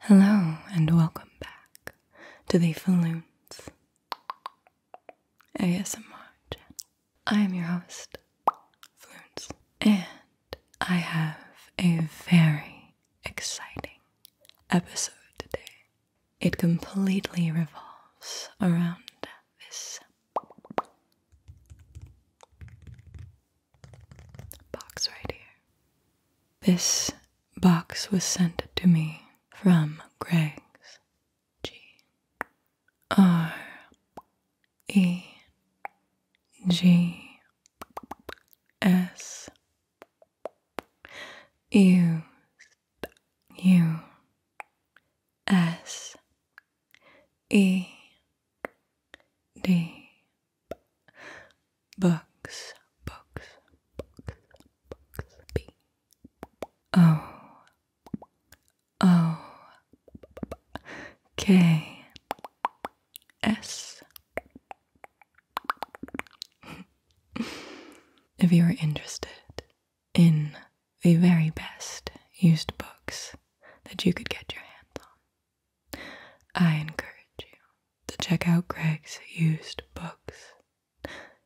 Hello and welcome back to the Falloons ASMR channel. I am your host, Falloons, and I have a very exciting episode today. It completely revolves around this box right here. This box was sent to me from Greg's. G R E G S U S E D books, books, books, books. B O O K S. if you are interested in the very best used books that you could get your hands on, I encourage you to check out Greg's used books.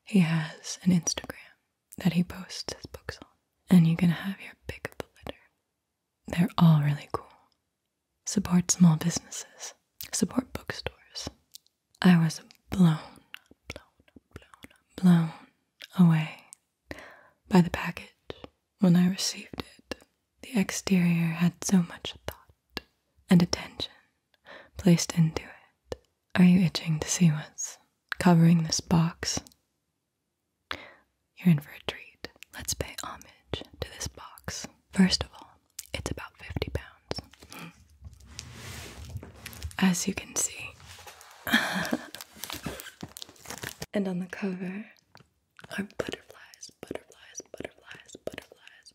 He has an Instagram that he posts his books on, and you can have your pick of the litter. They're all really cool. Support small businesses, support bookstores. I was blown, blown, blown, blown away by the package when I received it. The exterior had so much thought and attention placed into it. Are you itching to see what's covering this box? You're in for a treat. Let's pay homage to this box. First of all, it's about 50 pounds. As you can see. and on the cover are butterflies, butterflies, butterflies, butterflies,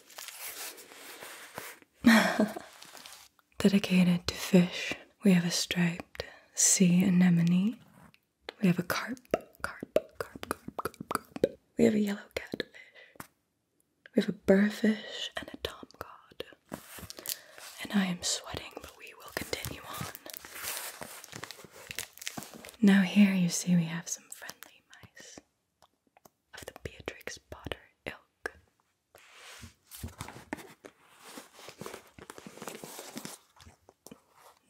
Dedicated to fish, we have a striped sea anemone. We have a carp, carp, carp, carp, carp, carp. We have a yellow catfish. We have a burfish and a tomcod. And I am sweating, but we will continue on. Now, here you see we have some friendly mice of the Beatrix Potter ilk.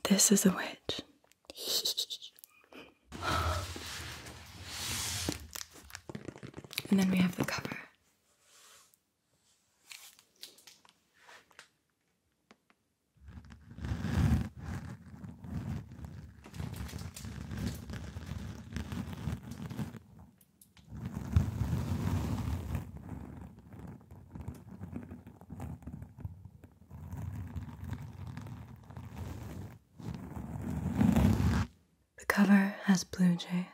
This is a witch. and then we have the cover. The cover has blue jays,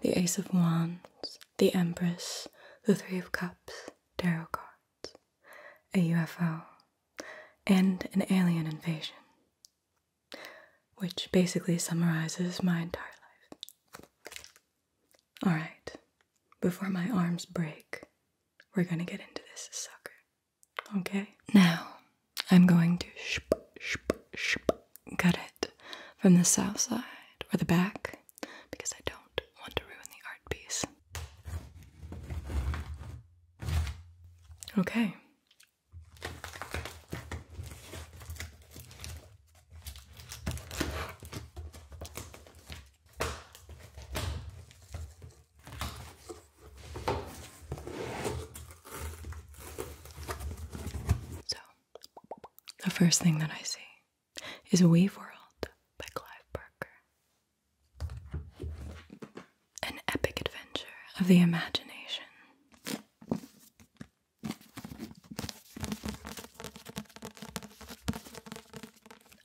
the Ace of Wands, the Empress, the Three of Cups, tarot cards, a UFO, and an alien invasion, which basically summarizes my entire life. Alright, before my arms break, we're gonna get into this sucker. Okay? Now, I'm going to shp, shp, shp, cut it from the south side or the back because I don't want to ruin the art piece. Okay. So, the first thing that I see is Weave World by Clive Barker. An epic adventure of the imagination.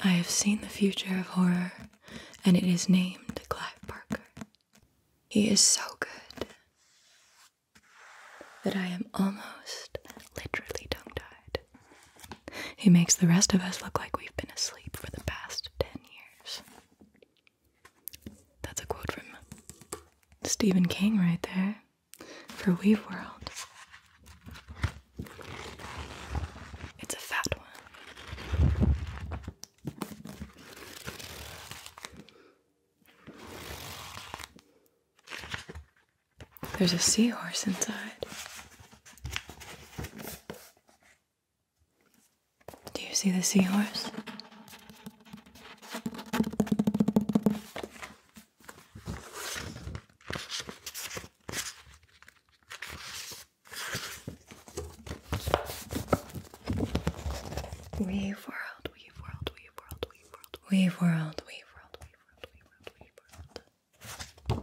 I have seen the future of horror, and it is named Clive Barker. He is so good that I am almost literally tongue tied. He makes the rest of us look like we've been asleep for the past 10 years. That's a quote from Stephen King right there for Weave World. It's a fat one. There's a seahorse inside. Do you see the seahorse? Weave world, weave world, weave world, weave world, weave world, weave world, weave world, weave world,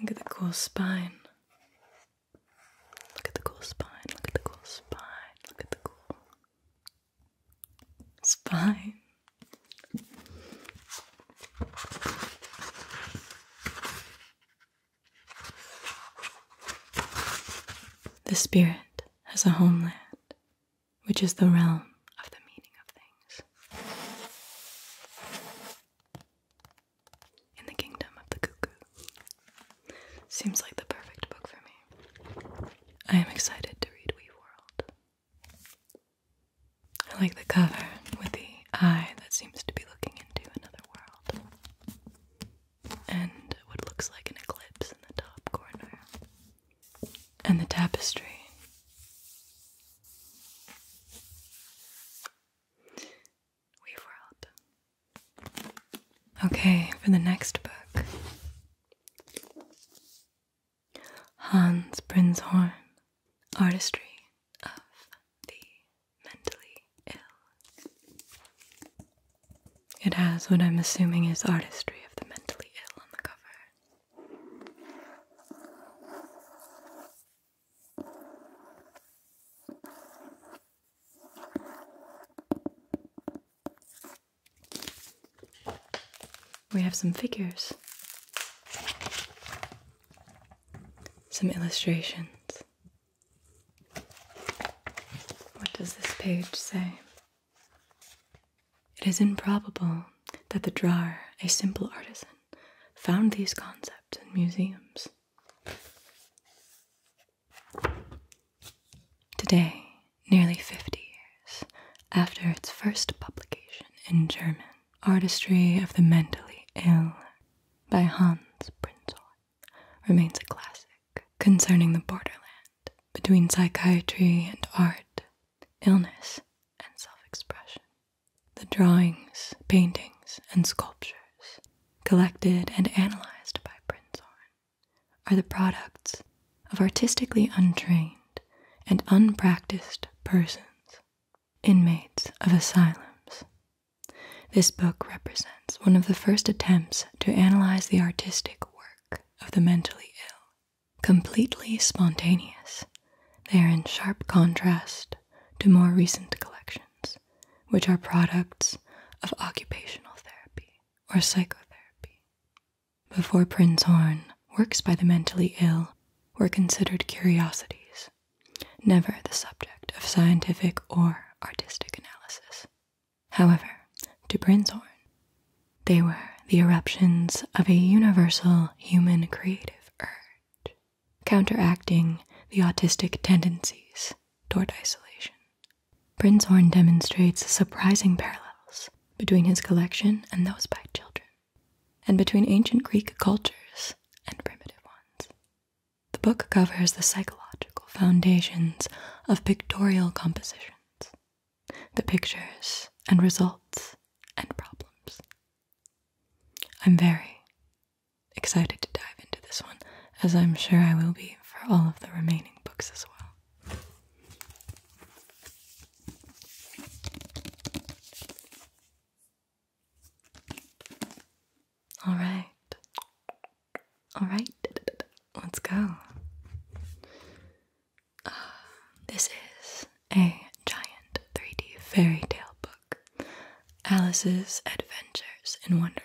Look at the cool spine. Look at the cool spine, look at the cool spine, look at the cool spine. The spirit has a homeland, which is the realm of the meaning of things in the Kingdom of the Cuckoo. Seems like the perfect book for me. I am excited to read Wee World. I like the cover with the eye that seems to be looking into another world, and what looks like an eclipse in the top corner, and the tapestry. We've Okay, for the next book. Hans Prinzhorn, Artistry of the Mentally Ill. It has what I'm assuming is Artistry of the Mentally Ill on the cover. We have some figures, some illustrations. What does this page say? It is improbable that the drawer, a simple artisan, found these concepts in museums. Today, nearly 50 years after its first publication in German, Artistry of the Mentally Ill by Hans Prinzhorn remains a classic concerning the borderland between psychiatry and art, illness, and self expression. The drawings, paintings, and sculptures collected and analyzed by Prinzhorn, are the products of artistically untrained and unpracticed persons, inmates of asylums. This book represents one of the first attempts to analyze the artistic work of the mentally ill. Completely spontaneous, they are in sharp contrast to more recent collections which are products of occupational therapy or psychotherapy. Before Prinzhorn, works by the mentally ill were considered curiosities, never the subject of scientific or artistic analysis. However, to Prinzhorn, they were the eruptions of a universal human creative urge counteracting the autistic tendencies toward isolation. Prinzhorn demonstrates surprising parallels between his collection and those by children, and between ancient Greek cultures and primitive ones. The book covers the psychological foundations of pictorial compositions, the pictures and results and problems. I'm very, excited to dive into this one, as I'm sure I will be for all of the remaining books as well. All right. All right. Let's go. Ah, this is a giant 3D fairy tale book. Alice's Adventures in Wonderland.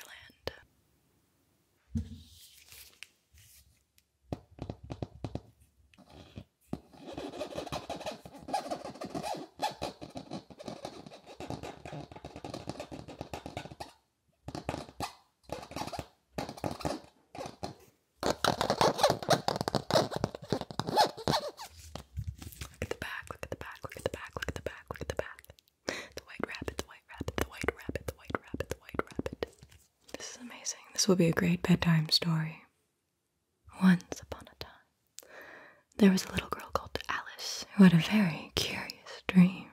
Look at the back, look at the back, look at the back, look at the back, look at the back. The white rabbit, the white rabbit, the white rabbit, the white rabbit, the white rabbit. This is amazing. This will be a great bedtime story. Once upon a time, there was a little girl called Alice who had a very curious dream.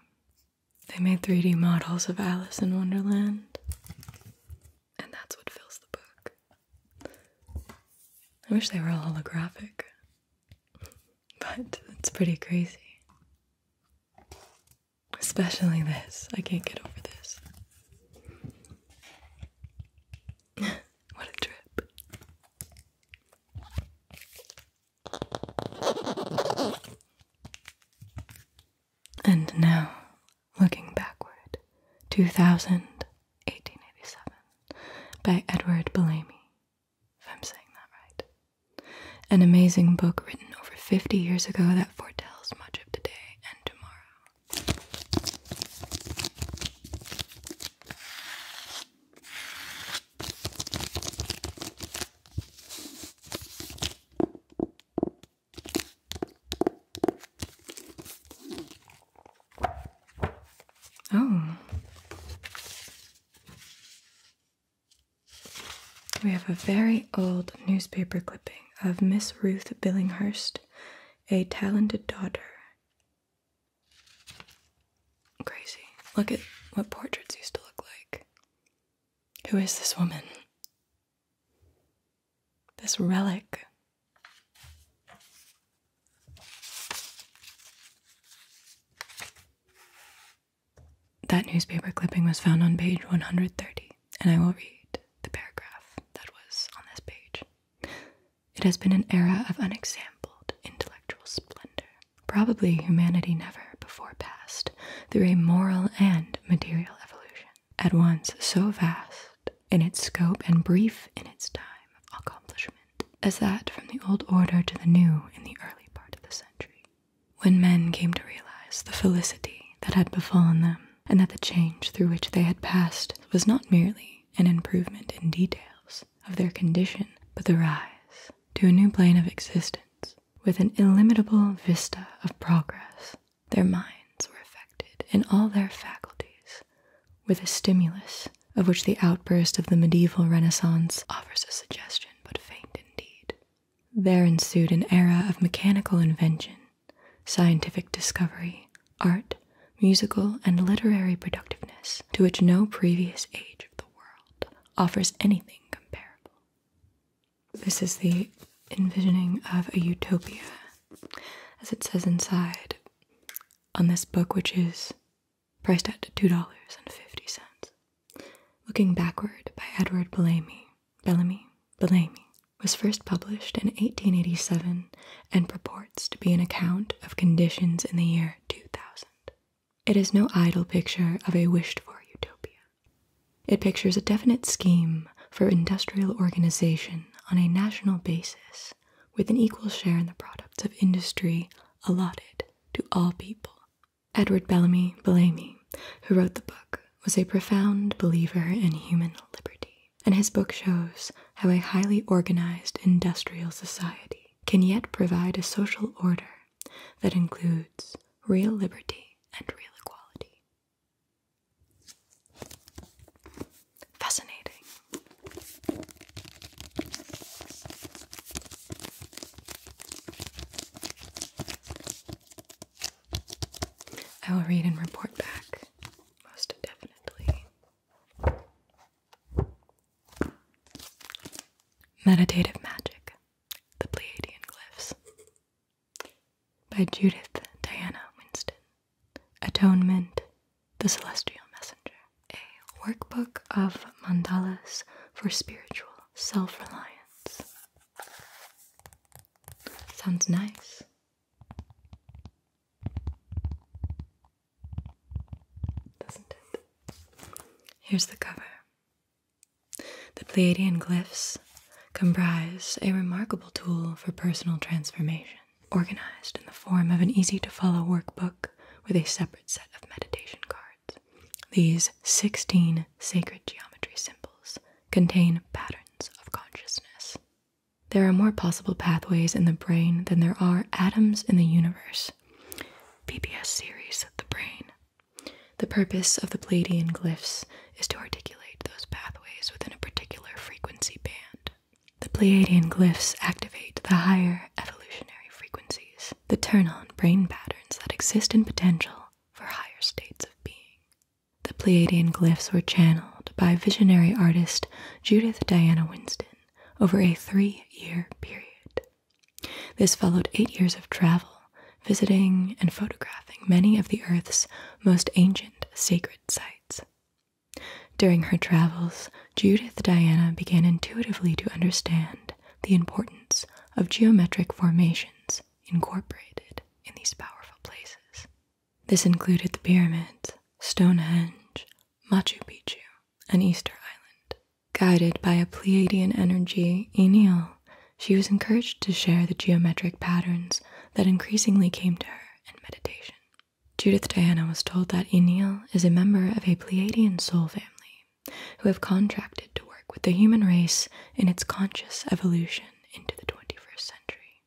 They made 3D models of Alice in Wonderland, and that's what fills the book. I wish they were all holographic. But it's pretty crazy. Especially this. I can't get over this. what a trip. And now, looking backward, 2000, 1887, by Edward Bellamy if I'm saying that right. An amazing book written over 50 years ago that foretells much of today and tomorrow. Oh, we have a very old newspaper clipping of Miss Ruth Billinghurst, a talented daughter. Crazy. Look at what portraits used to look like. Who is this woman? This relic. That newspaper clipping was found on page 130, and I will read the paragraph that was on this page. It has been an era of unexampled intellectual splendor. Probably humanity never before passed through a moral and material evolution, at once so vast in its scope and brief in its time of accomplishment as that from the old order to the new in the early part of the century, when men came to realize the felicity that had befallen them, and that the change through which they had passed was not merely an improvement in details of their condition, but the rise to a new plane of existence with an illimitable vista of progress. Their minds were affected in all their faculties with a stimulus of which the outburst of the medieval Renaissance offers a suggestion but faint indeed. There ensued an era of mechanical invention, scientific discovery, art, musical, and literary productiveness to which no previous age of the world offers anything comparable. This is the envisioning of a utopia, as it says inside on this book, which is priced at $2.50. Looking Backward by Edward Bellamy, Bellamy, Bellamy was first published in 1887 and purports to be an account of conditions in the year 2000. It is no idle picture of a wished-for utopia. It pictures a definite scheme for industrial organization on a national basis with an equal share in the products of industry allotted to all people. Edward Bellamy Bellamy, who wrote the book, was a profound believer in human liberty, and his book shows how a highly organized industrial society can yet provide a social order that includes real liberty and real equality. Fascinating. I will read and report back, most definitely. Meditative Magic The Pleiadian Glyphs by Judith Diana Winston. Atonement The Celestial Messenger a workbook of mandalas for spiritual self reliance. Sounds nice. Doesn't it? Here's the cover. The Pleiadian glyphs comprise a remarkable tool for personal transformation, organized in the form of an easy to follow workbook with a separate set of meditation cards. These 16 sacred geometry symbols contain patterns of consciousness. There are more possible pathways in the brain than there are atoms in the universe. PBS series The Brain. The purpose of the Pleiadian glyphs is to articulate those pathways within a particular frequency band. The Pleiadian glyphs activate the higher evolutionary frequencies the turn on brain patterns that exist in potential for higher states of being. The Pleiadian glyphs were channeled by visionary artist Judith Diana Winston over a three year period. This followed eight years of travel, visiting and photographing many of the Earth's most ancient sacred sites. During her travels, Judith Diana began intuitively to understand the importance of geometric formations incorporated in these powerful places. This included the pyramids, Stonehenge, Machu Picchu, and Easter Island. Guided by a Pleiadian energy, Enil, she was encouraged to share the geometric patterns that increasingly came to her in meditation. Judith Diana was told that Enil is a member of a Pleiadian soul family who have contracted to work with the human race in its conscious evolution into the 21st century.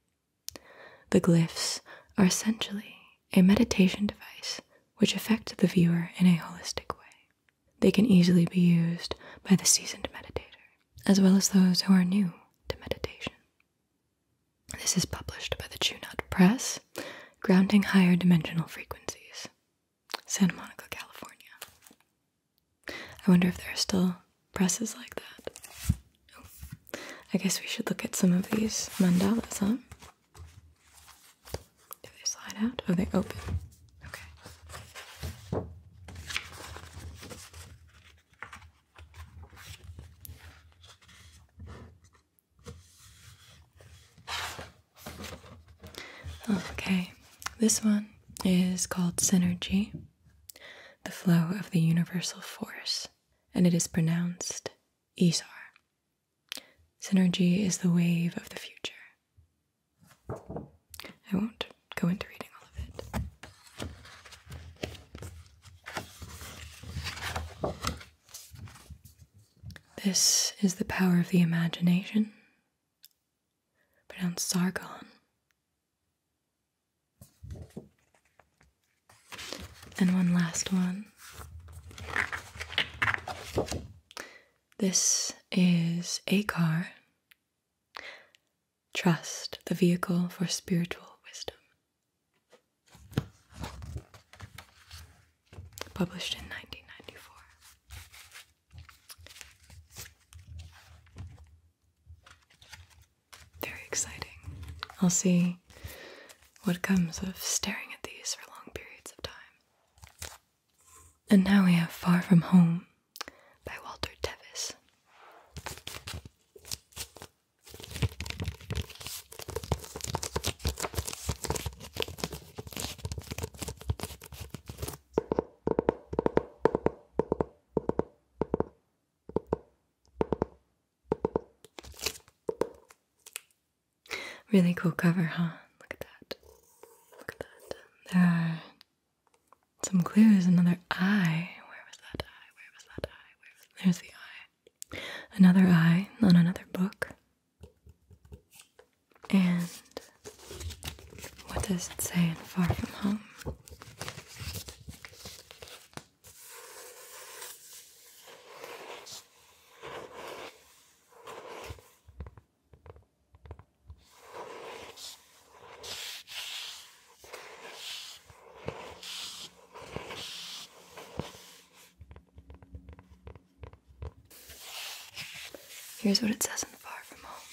The glyphs are essentially a meditation device which affect the viewer in a holistic way. They can easily be used by the seasoned meditator, as well as those who are new to meditation. This is published by the Chunat Press, grounding higher dimensional frequencies. Santa Monica, California. I wonder if there are still presses like that. Oh, I guess we should look at some of these mandalas, huh? Do they slide out? Are oh, they open. Okay. Okay, this one is called Synergy, the flow of the universal force, and it is pronounced Isar. Synergy is the wave of the future. I won't go into reading all of it. This is the power of the imagination, pronounced Sargon. And one last one. This is a car. Trust the vehicle for spiritual wisdom published in 1994. Very exciting. I'll see what comes of staring at these for long periods of time. And now we have Far From Home by Walter Tevis. Really cool cover, huh? Look at that. Look at that. There are some clues. Another eye. Where was that eye? Where was that eye? There's the eye. Another eye on another book. And what does it say in Far From Home? Here's what it says in Far From Home.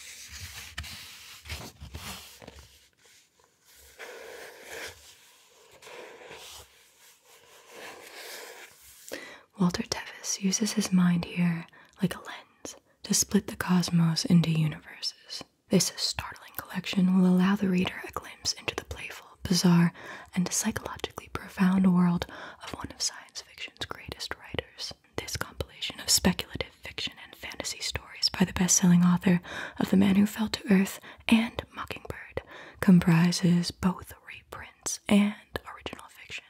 Walter Tevis uses his mind here like a lens to split the cosmos into universes. This startling collection will allow the reader a glimpse into the playful, bizarre, and psychologically profound world of one of science fiction greatest writers. This compilation of speculative fiction and fantasy stories by the best-selling author of The Man Who Fell to Earth and Mockingbird comprises both reprints and original fiction.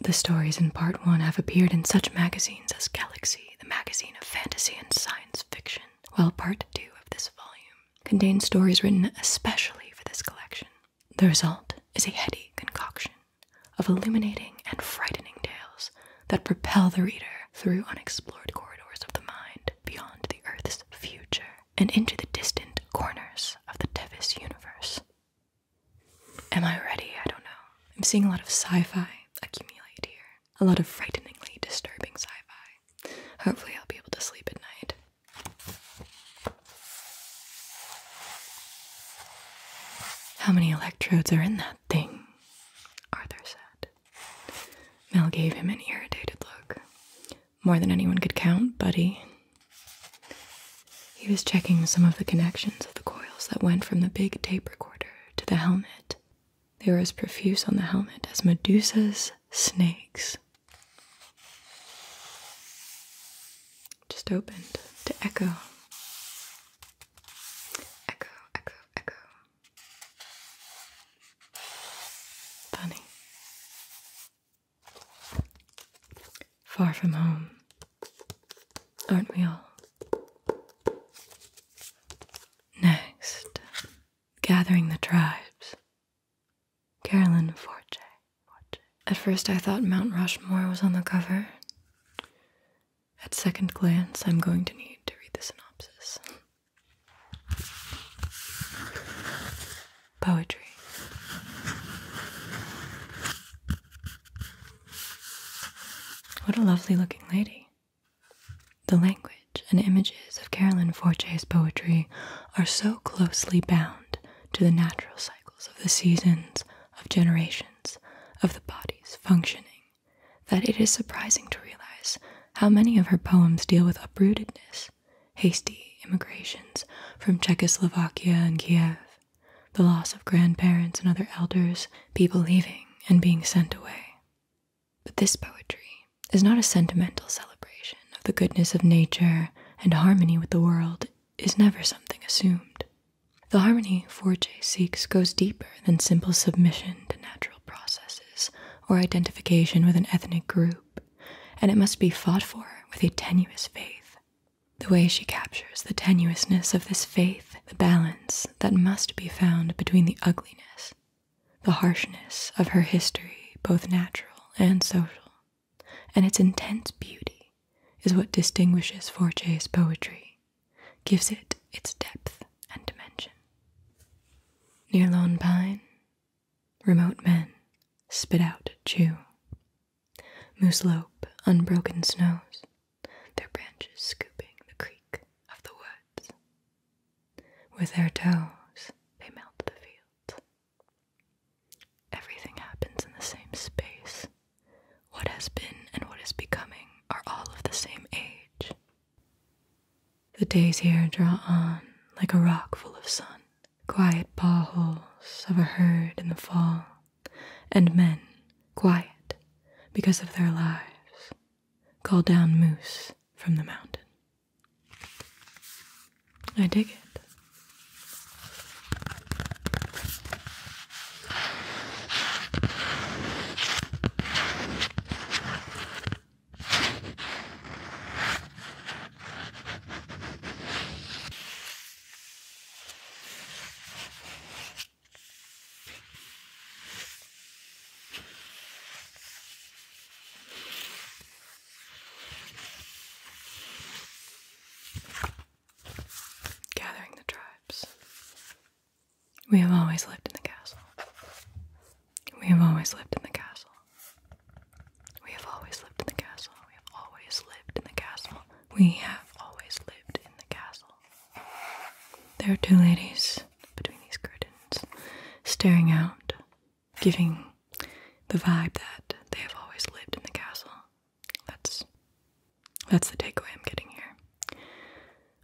The stories in part 1 have appeared in such magazines as Galaxy, the magazine of fantasy and science fiction, while part 2 of this volume contains stories written especially for this collection. The result is a heady concoction of illuminating and frightening tales that propel the reader through unexplored corridors of the mind beyond the Earth's future and into the distant corners of the Tevis universe. Am I ready? I don't know. I'm seeing a lot of sci fi accumulate here, a lot of frighteningly disturbing sci fi. Hopefully, I'll be able to sleep at night. How many electrodes are in that thing? Arthur said. Mel gave him an irritated look. More than anyone could count, buddy. He was checking some of the connections of the coils that went from the big tape recorder to the helmet. They were as profuse on the helmet as Medusa's snakes just opened to echo. Echo, echo, echo. Funny. Far from home, aren't we all? Next, gathering the tribes Carolyn Forte. At first, I thought Mount Rushmore was on the cover. At second glance, I'm going to need to read the synopsis. Poetry. What a lovely looking lady. The language and images of Carolyn Forte's poetry are so closely bound to the natural of the seasons, of generations, of the body's functioning, that it is surprising to realize how many of her poems deal with uprootedness, hasty immigrations from Czechoslovakia and Kiev, the loss of grandparents and other elders, people leaving and being sent away. But this poetry is not a sentimental celebration of the goodness of nature and harmony with the world is never something assumed. The harmony 4 seeks goes deeper than simple submission to natural processes or identification with an ethnic group, and it must be fought for with a tenuous faith. The way she captures the tenuousness of this faith, the balance that must be found between the ugliness, the harshness of her history, both natural and social, and its intense beauty is what distinguishes Forche's poetry, gives it its depth and dimension. Near lone pine, remote men spit out chew. Mooslope unbroken snows, their branches scooping the creek of the woods. With their toes they melt the fields, Everything happens in the same space. What has been and what is becoming are all of the same age. The days here draw on like a rock full of sun, quiet bawholes of a herd in the fall, and men, quiet because of their lives, call down moose from the mountain. I dig it. Gathering the tribes. We have always lived in the castle. We have always lived in the castle. We have always lived in the castle. We have always lived in the castle. We have always lived in the castle. There are two ladies between these curtains, staring out, giving the vibe that they have always lived in the castle. That's that's the takeaway I'm getting here.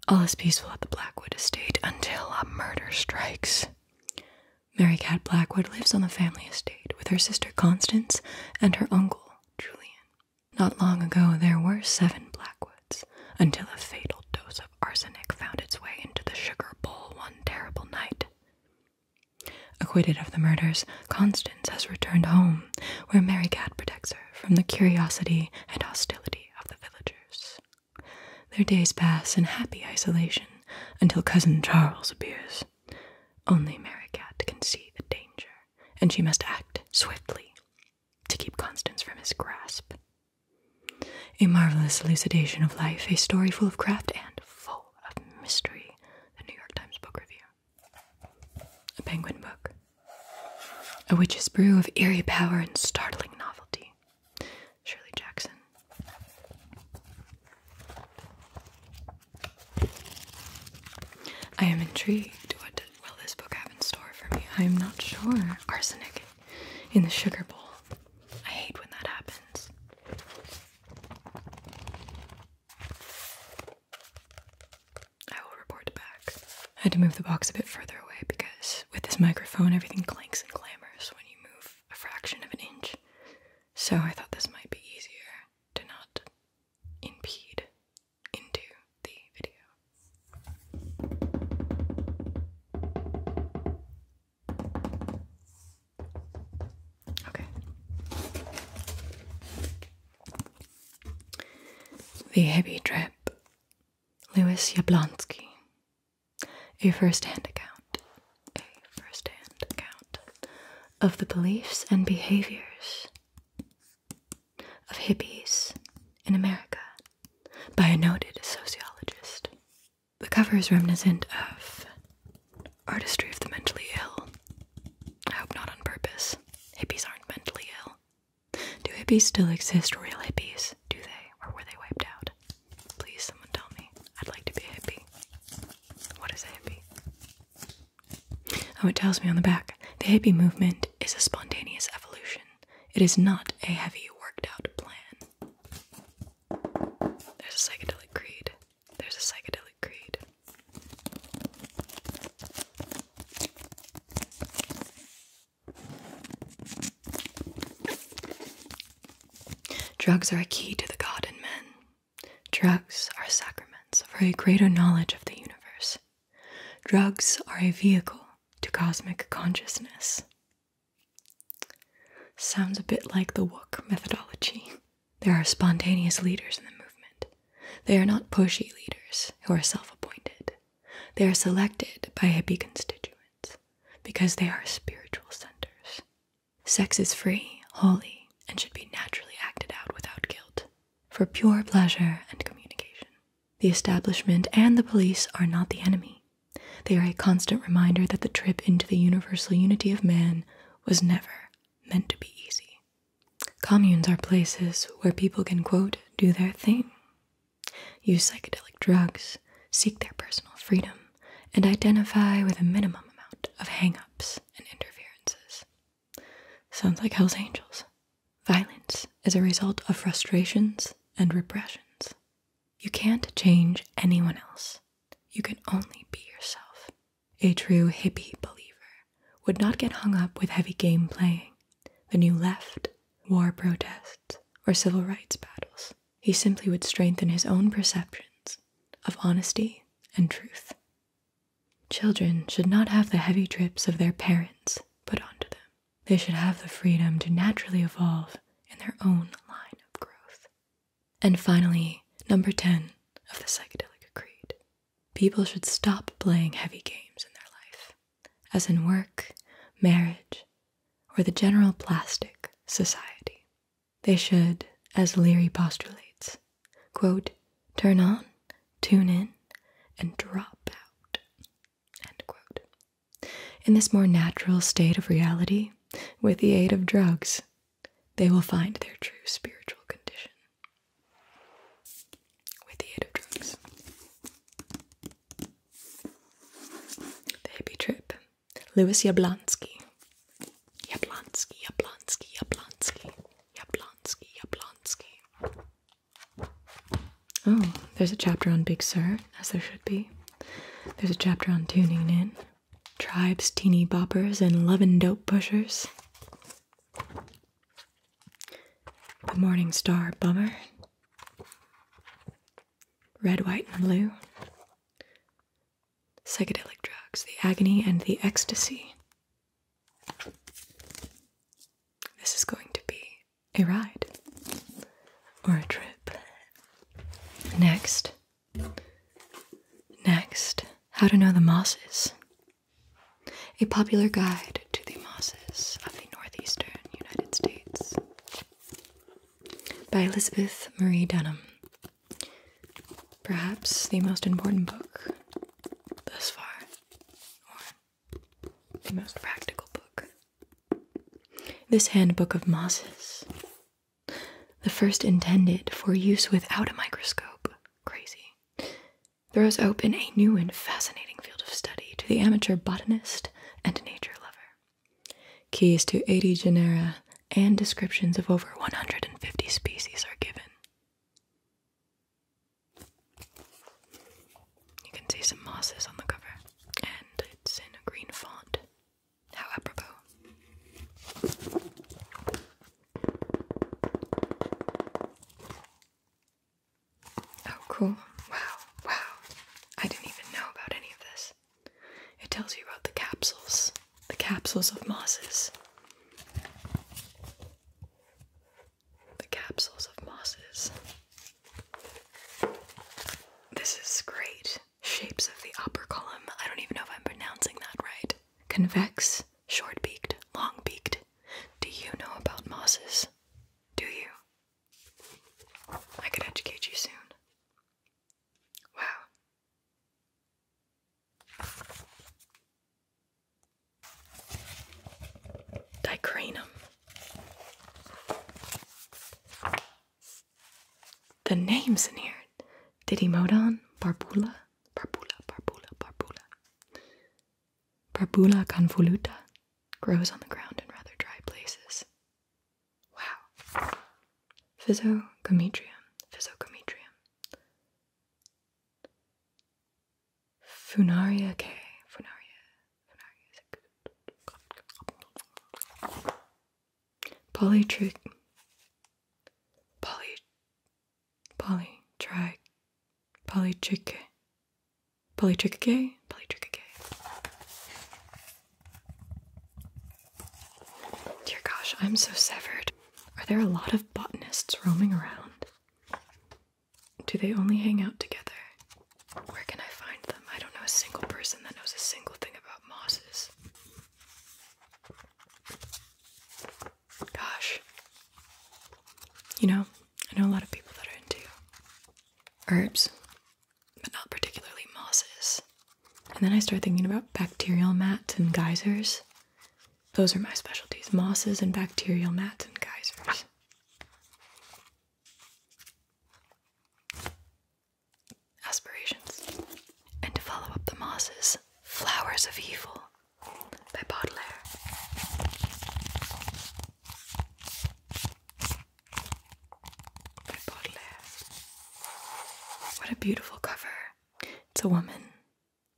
All is peaceful at the Blackwood estate until a murder strikes. Mary Cat Blackwood lives on the family estate with her sister Constance and her uncle Julian. Not long ago, there were seven Blackwoods until a fatal dose of arsenic found its way into the sugar bowl one terrible night. Acquitted of the murders, Constance has returned home, where Mary Cat protects her from the curiosity and hostility of the villagers. Their days pass in happy isolation until Cousin Charles appears. Only Mary Cat can see the danger, and she must act swiftly to keep Constance from his grasp. A marvelous elucidation of life, a story full of craft and full of mystery, the New York Times book review, a penguin book, a witch's brew of eerie power and startling novelty, Shirley Jackson. I am intrigued. What will this book have in store for me? I am not sure. Arsenic in the sugar bowl. I hate when that happens. I will report back. had to move the box a bit further away because with this microphone, everything clanks and clambers when you move a fraction of an inch. So I thought this might be easier to not impede into the video. Okay. The Heavy Trip. Louis Jablonski. A first hand account. A first hand account of the beliefs and behaviors of hippies in America by a noted sociologist. The cover is reminiscent of Artistry of the mentally ill. I hope not on purpose. Hippies aren't mentally ill. Do hippies still exist, real hippies? Do they, or were they wiped out? Please, someone tell me. I'd like to be a What is a hippie? Oh, it tells me on the back. The hippie movement is a spontaneous evolution. It is not a heavy, worked out plan. There's a psychedelic creed. There's a psychedelic creed. Drugs are a key to the God in men. Drugs are sacraments for a greater knowledge of the universe. Drugs are a vehicle to cosmic consciousness. Sounds a bit like the Wook methodology. There are spontaneous leaders in the movement. They are not pushy leaders who are self appointed. They are selected by hippie constituents because they are spiritual centers. Sex is free, holy, and should be naturally acted out without guilt, for pure pleasure and communication. The establishment and the police are not the enemy. They are a constant reminder that the trip into the universal unity of man was never meant to be easy. Communes are places where people can, quote, do their thing, use psychedelic drugs, seek their personal freedom, and identify with a minimum amount of hangups and interferences. Sounds like Hell's Angels. Violence is a result of frustrations and repressions. You can't change anyone else, you can only be yourself. A true hippie believer would not get hung up with heavy game playing, the new left, war protests, or civil rights battles. He simply would strengthen his own perceptions of honesty and truth. Children should not have the heavy drips of their parents put onto them. They should have the freedom to naturally evolve in their own line of growth. And finally, number 10 of the Psychedelic Creed people should stop playing heavy games in their life, as in work, marriage, or the general plastic society. They should, as Leary postulates, quote, turn on, tune in, and drop out. In this more natural state of reality, with the aid of drugs, they will find their true spiritual condition with the aid of drugs. The hippie trip. Louis Jablonski. Jablonski, Jablonski, Jablonski, Jablonski, Jablonski. Oh, there's a chapter on Big Sur, as there should be. There's a chapter on tuning in tribes, teeny boppers, and lovin' dope pushers. The Morning Star Bummer. Red, White, and Blue. Psychedelic Drugs, The Agony and the Ecstasy. This is going to be a ride or a trip. Next, Next, how to know the mosses. A popular guide to the mosses of the northeastern United States by Elizabeth Marie Dunham. Perhaps the most important book thus far, or the most practical book. This handbook of mosses, the first intended for use without a microscope, crazy, throws open a new and fascinating field of study to the amateur botanist and nature lover. Keys to 80 genera and descriptions of over 150 species are given. You can see some mosses on the cover, and it's in a green font. How apropos. Oh, cool. Wow, wow. I didn't even know about any of this. It tells you about the capsules, the capsules of mosses. The capsules of mosses. This is great. Shapes of the upper column. I don't even know if I'm pronouncing that right. Convex, Short beaked, long beaked. Do you know about mosses? Do you? I can educate you soon. Wow. Dicranum. The names in here Didymodon, Barbula, Parpula, Parpula, Parpula. Parpula convoluta grows on the ground in rather dry places. Wow. Physocometrium, Physocometrium. Funaria K, Funaria, Funaria. Polytric. Poly. Polly, try polytriche. Polytriche? Polytriche. Dear gosh, I'm so severed. Are there a lot of botanists roaming around? Do they only hang out together? Where can I find them? I don't know a single person that knows a single thing about mosses. Gosh. You know, I know a lot of people that are into herbs, but not particularly mosses. And then I start thinking about bacterial mats and geysers. Those are my specialties mosses and bacterial mats and geysers. Aspirations. And to follow up the mosses, flowers of evil by Baudelaire. By Baudelaire. What a beautiful cover. It's a woman,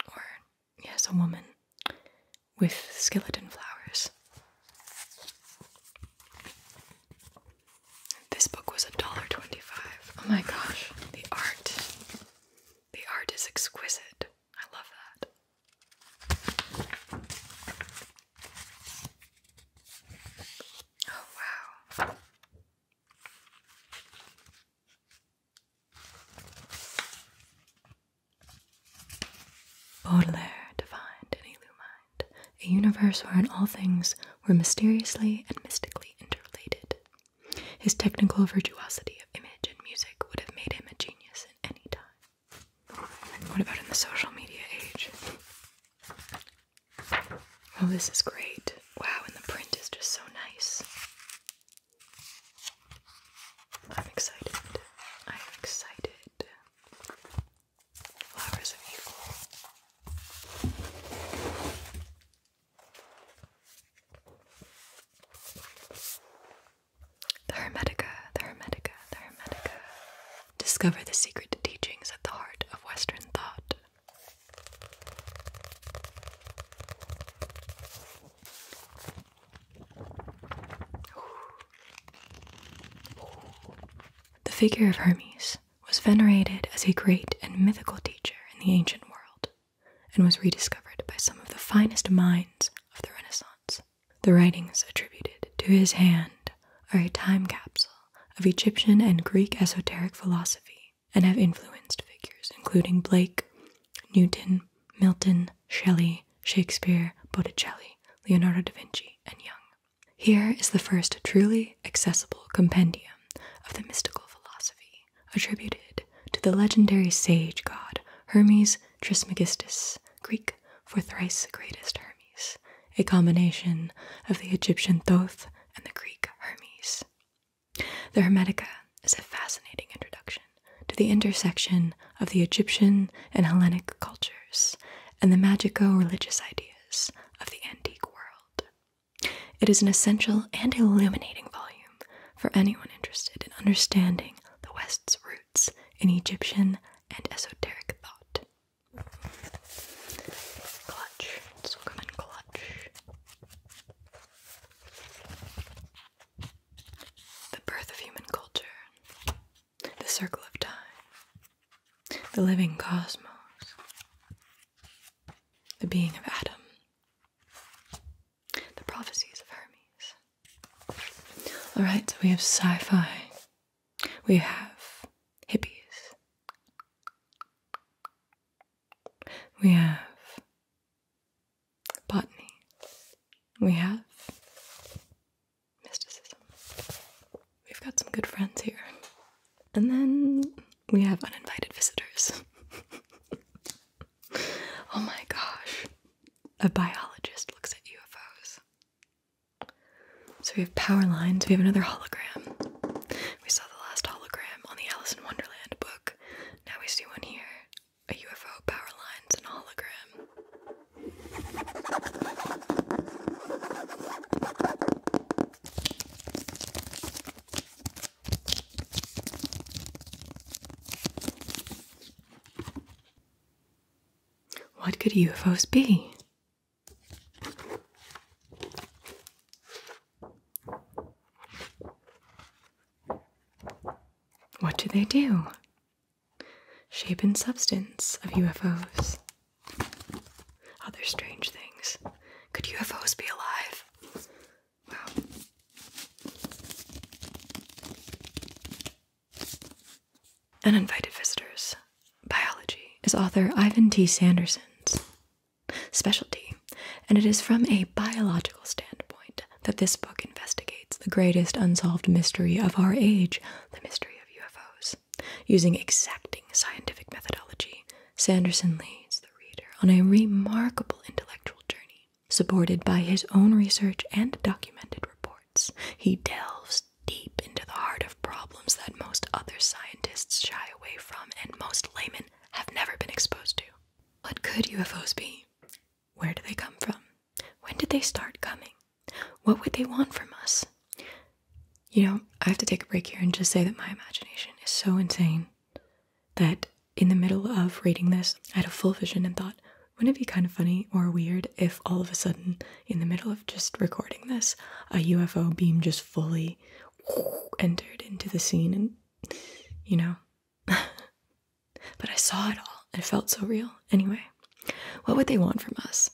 or yes, a woman with skeleton flowers. This book was $1.25. Oh my gosh, the art. The art is exquisite. I love that. Oh, wow. Baudelaire defined in Illumine a universe wherein all things were mysteriously and mystically interrelated. His technical virtuosity of image and music would have made him a genius at any time. What about in the social media age? Oh, this is great. Wow, and the print is just so nice. I'm excited. I'm excited. Flowers of Evil. The Hermetica, the Hermetica, the Hermetica. Discover the secret teachings at the heart of Western thought. The figure of Hermes was venerated as a great and mythical teacher in the ancient world and was rediscovered by some of the finest minds of the Renaissance. The writings attributed to his hand are a time capsule of Egyptian and Greek esoteric philosophy and have influenced figures including Blake, Newton, Milton, Shelley, Shakespeare, Botticelli, Leonardo da Vinci, and Young. Here is the first truly accessible compendium of the mystical philosophy attributed to the legendary sage god Hermes Trismegistus, Greek for thrice greatest Hermes, a combination of the Egyptian Thoth and the Greek Hermes. The Hermetica is a fascinating introduction to the intersection of the Egyptian and Hellenic cultures and the magico religious ideas of the antique world. It is an essential and illuminating volume for anyone interested in understanding the West's roots in Egyptian and esoteric thought. Clutch. This clutch. The birth of human culture. The circle of time. The living cosmos. The being of Adam. The Prophecies of Hermes. Alright, so we have sci fi, we have hippies, we have botany, we have mysticism. We've got some good friends here. And then we have uninvited visitors. oh my gosh. A biologist looks at UFOs. So we have power lines, we have another hologram. We saw the last hologram on the Alice in Wonderland book. Now we see one here a UFO, power lines, and a hologram. What could UFOs be? What do they do? Shape and substance of UFOs. Other strange things. Could UFOs be alive? Uninvited Visitors Biology is author Ivan T. Sanderson's specialty, and it is from a biological standpoint that this book investigates the greatest unsolved mystery of our age, the mystery of UFOs. Using exacting scientific methodology, Sanderson leads the reader on a remarkable intellectual journey Supported by his own research and documented reports, he delves deep into the heart of problems that most other scientists shy away from and most laymen have never been exposed to. What could UFOs be? Where do they come from? When did they start coming? What would they want from us? You know, I have to take a break here and just say that my imagination is so insane that in the middle of reading this, I had a full vision and thought, wouldn't it be kind of funny or weird if all of a sudden, in the middle of just recording this, a UFO beam just fully entered into the scene and, you know. but I saw it all it felt so real. Anyway, what would they want from us?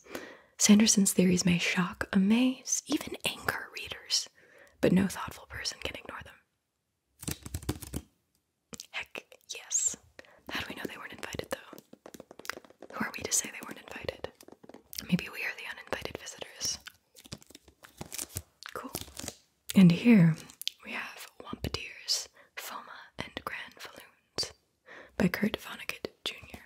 Sanderson's theories may shock, amaze, even anger readers, but no thoughtful person can ignore them. Heck yes. How do we know they weren't invited though? Who are we to say they weren't invited? Maybe we are the uninvited visitors. Cool. And here we have Wampadeers, Foma, and Grand Falloons by Kurt Vonnegut Jr.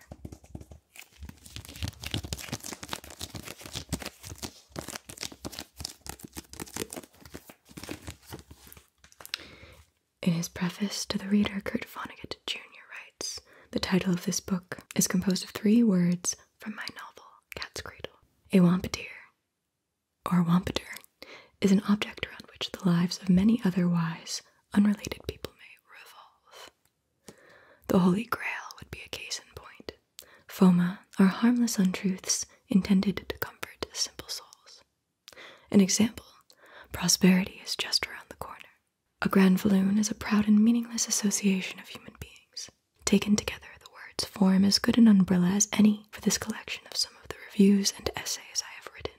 In his preface to the reader, Kurt Vonnegut Jr. writes The title of this book is composed of three words from my novel, Cat's Cradle. A wampiteer, or wampiter, is an object around which the lives of many otherwise unrelated people may revolve. The Holy Grail would be a case in point. Foma are harmless untruths intended to comfort simple souls. An example prosperity is just around the corner. A grand falloon is a proud and meaningless association of human beings. Taken together, the words form as good an umbrella as any for this collection of some of the reviews and essays I have written,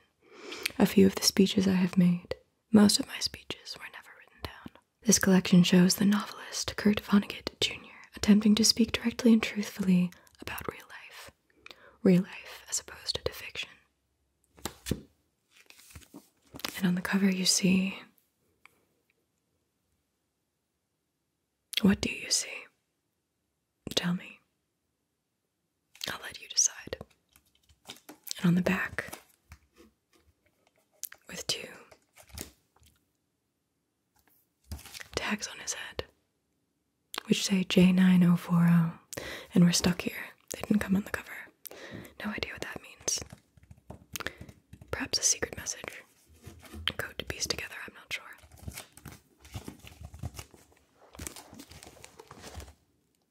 a few of the speeches I have made. Most of my speeches were never written down. This collection shows the novelist Kurt Vonnegut Jr attempting to speak directly and truthfully about real life. Real life as opposed to fiction. And on the cover, you see. What do you see? Tell me. I'll let you decide. And on the back, with two tags on his head, which say J9040, and we're stuck here. They didn't come on the cover. No idea what that means. Perhaps a secret message. code to piece together, I'm not sure.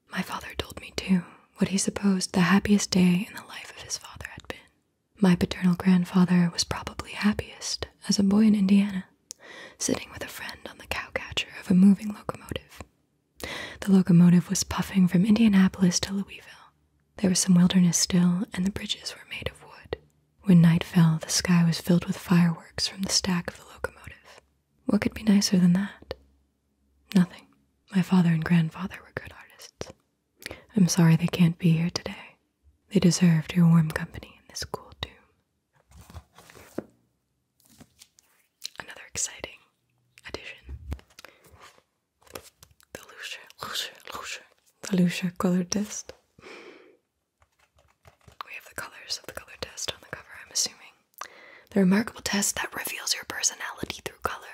My father told me, too, what he supposed the happiest day in the life of his father had been. My paternal grandfather was probably happiest as a boy in Indiana, sitting with a friend on the cowcatcher of a moving locomotive. The locomotive was puffing from Indianapolis to Louisville. There was some wilderness still, and the bridges were made of wood. When night fell, the sky was filled with fireworks from the stack of the locomotive. What could be nicer than that? Nothing. My father and grandfather were good artists. I'm sorry they can't be here today. They deserved your warm company in this cool tomb. Another exciting addition. The Lucia, Lucia, color test. We have the colors of the color test on the cover, I'm assuming. The remarkable test that reveals your personality through color.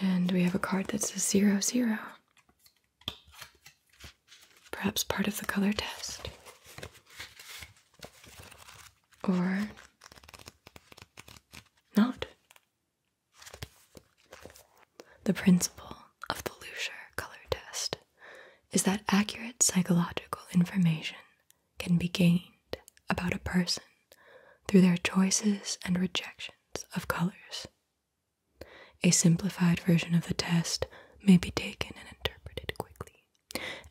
And we have a card that says zero zero. Perhaps part of the color test. Or not. The principle of the Lucier color test is that accurate psychological information can be gained about a person through their choices and rejections of colors. A simplified version of the test may be taken and interpreted quickly,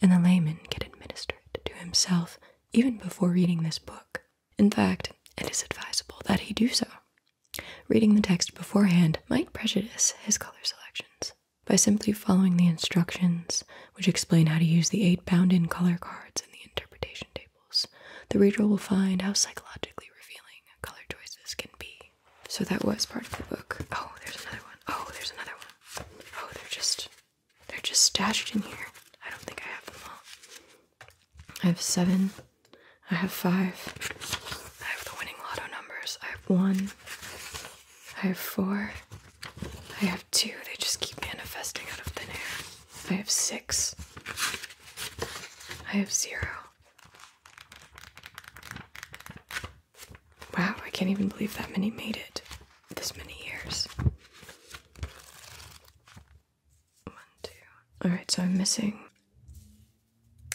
and the layman can administer it to himself even before reading this book. In fact, it is advisable that he do so. Reading the text beforehand might prejudice his color selections by simply following the instructions, which explain how to use the eight bound in color cards and the interpretation tables. The reader will find how psychologically revealing color choices can be. So that was part of the book. Oh, there's another one. Oh, there's another one. Oh, they're just they're just stashed in here. I don't think I have them all. I have seven. I have five. I have the winning lotto numbers. I have one. I have four. I have two. They just keep manifesting out of thin air. I have six. I have zero. Wow, I can't even believe that many made it this many years. One, two. Alright, so I'm missing.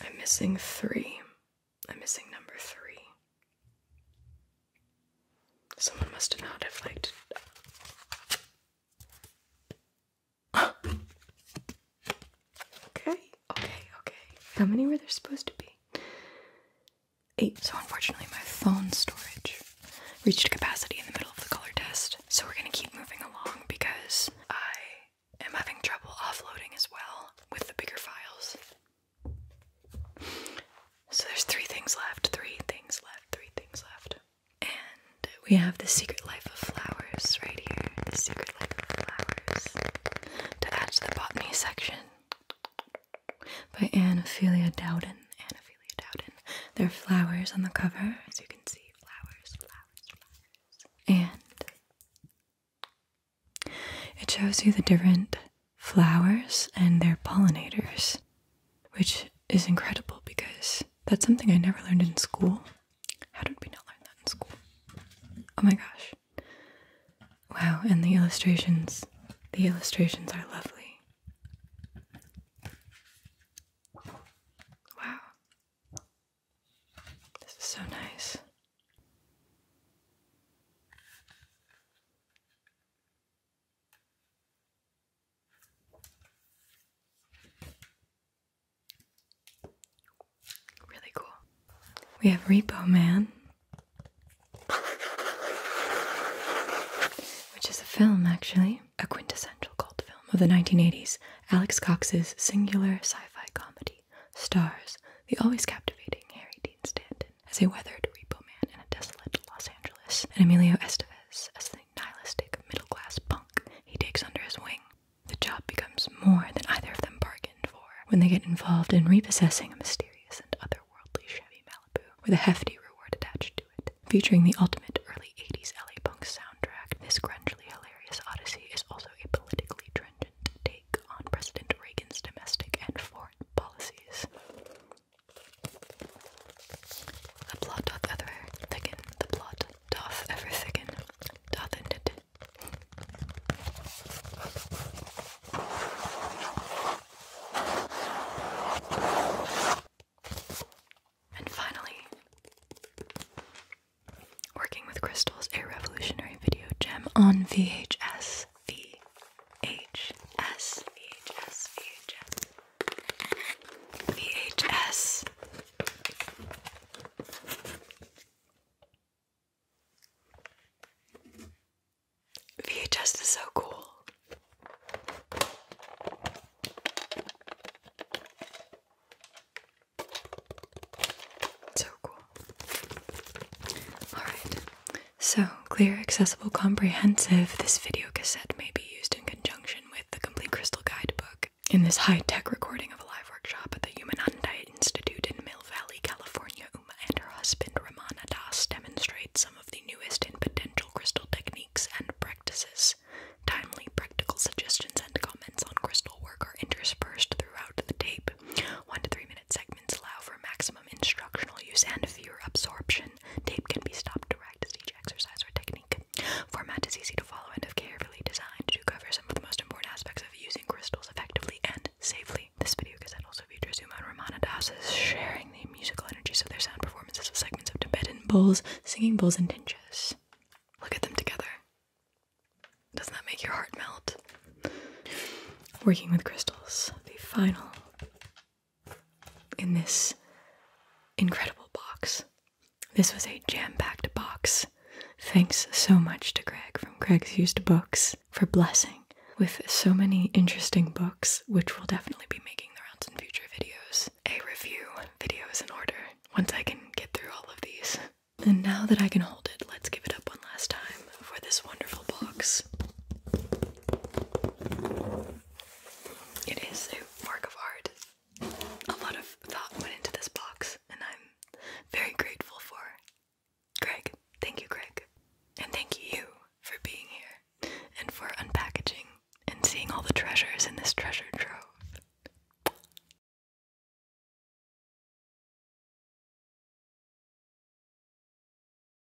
I'm missing three. I'm missing number three. Someone must have not have liked. okay, okay, okay. How many were there supposed to be? Eight. So unfortunately, my phone storage reached capacity in the middle of the color test. So we're gonna keep moving along because I am having trouble offloading as well with the bigger files. So there's three things left, three things left, three things left. And we have The Secret Life of Flowers right here. The Secret Life of Flowers. To add the botany section by Anne Ophelia Dowden. Anne Ophelia Dowden. There are flowers on the cover, as you can see. Flowers, flowers, flowers. And it shows you the different flowers and their pollinators, which is incredible because that's something I never learned in school. How did we not learn that in school? Oh my gosh. Wow, and the illustrations, the illustrations are lovely. Wow. This is so nice. Really cool. We have Repo Man, which is a film actually, a quintessential cult film of the 1980s. Alex Cox's singular sci fi comedy stars the always captivating Harry Dean Stanton as a weathered repo man in a desolate Los Angeles, and Emilio Estevez as the nihilistic middle class punk he takes under his wing. The job becomes more than either of them bargained for when they get involved in repossessing a mysterious and otherworldly Chevy Malibu with a hefty reward attached to it. Featuring the ultimate early 80s LA punk soundtrack, this grungily hilarious odyssey is also a politically trenchant take on President Reagan's domestic and foreign policies. The plot doth ever thicken, the plot doth ever thicken, doth it. And finally, working with crystals, a revolutionary video gem on VHS. V VHS, VHS, VHS, VHS. VHS is so cool. So cool. Alright, so, clear, accessible, comprehensive, this video cassette may be used in conjunction with the Complete Crystal Guidebook in this high tech recording of a live workshop at the Human Humananda Institute in Mill Valley, California. Uma and her husband Ramana Das demonstrate some of the newest and potential crystal techniques and practices. Timely practical suggestions and comments on crystal work are interspersed throughout the tape. One to three minute segments allow for maximum instructional use and fewer absorption. Tape can be stopped direct as each exercise or technique. Format is easy to follow and if carefully designed to cover some of the most important aspects of using crystals effectively and safely. This video cassette also features Uma and Ramana Das sharing the musical energies of their sound performances with segments of Tibetan bowls, singing bowls, and tinches. Look at them together. Doesn't that make your heart melt? Working with crystals, the final in this incredible box. This was a jam packed box. Thanks so much to Greg from Greg's Used Books for blessing with so many interesting books, which will definitely be making the rounds in future videos. A review video is in order once I can get through all of these. And now that I can hold it, let's give it up one last time for this wonderful box. It is a work of art. A lot of thought went into this box, and I'm very grateful for Greg. Thank you, Greg. And thank you for being here and for unpackaging and seeing all the treasures in this treasure trove.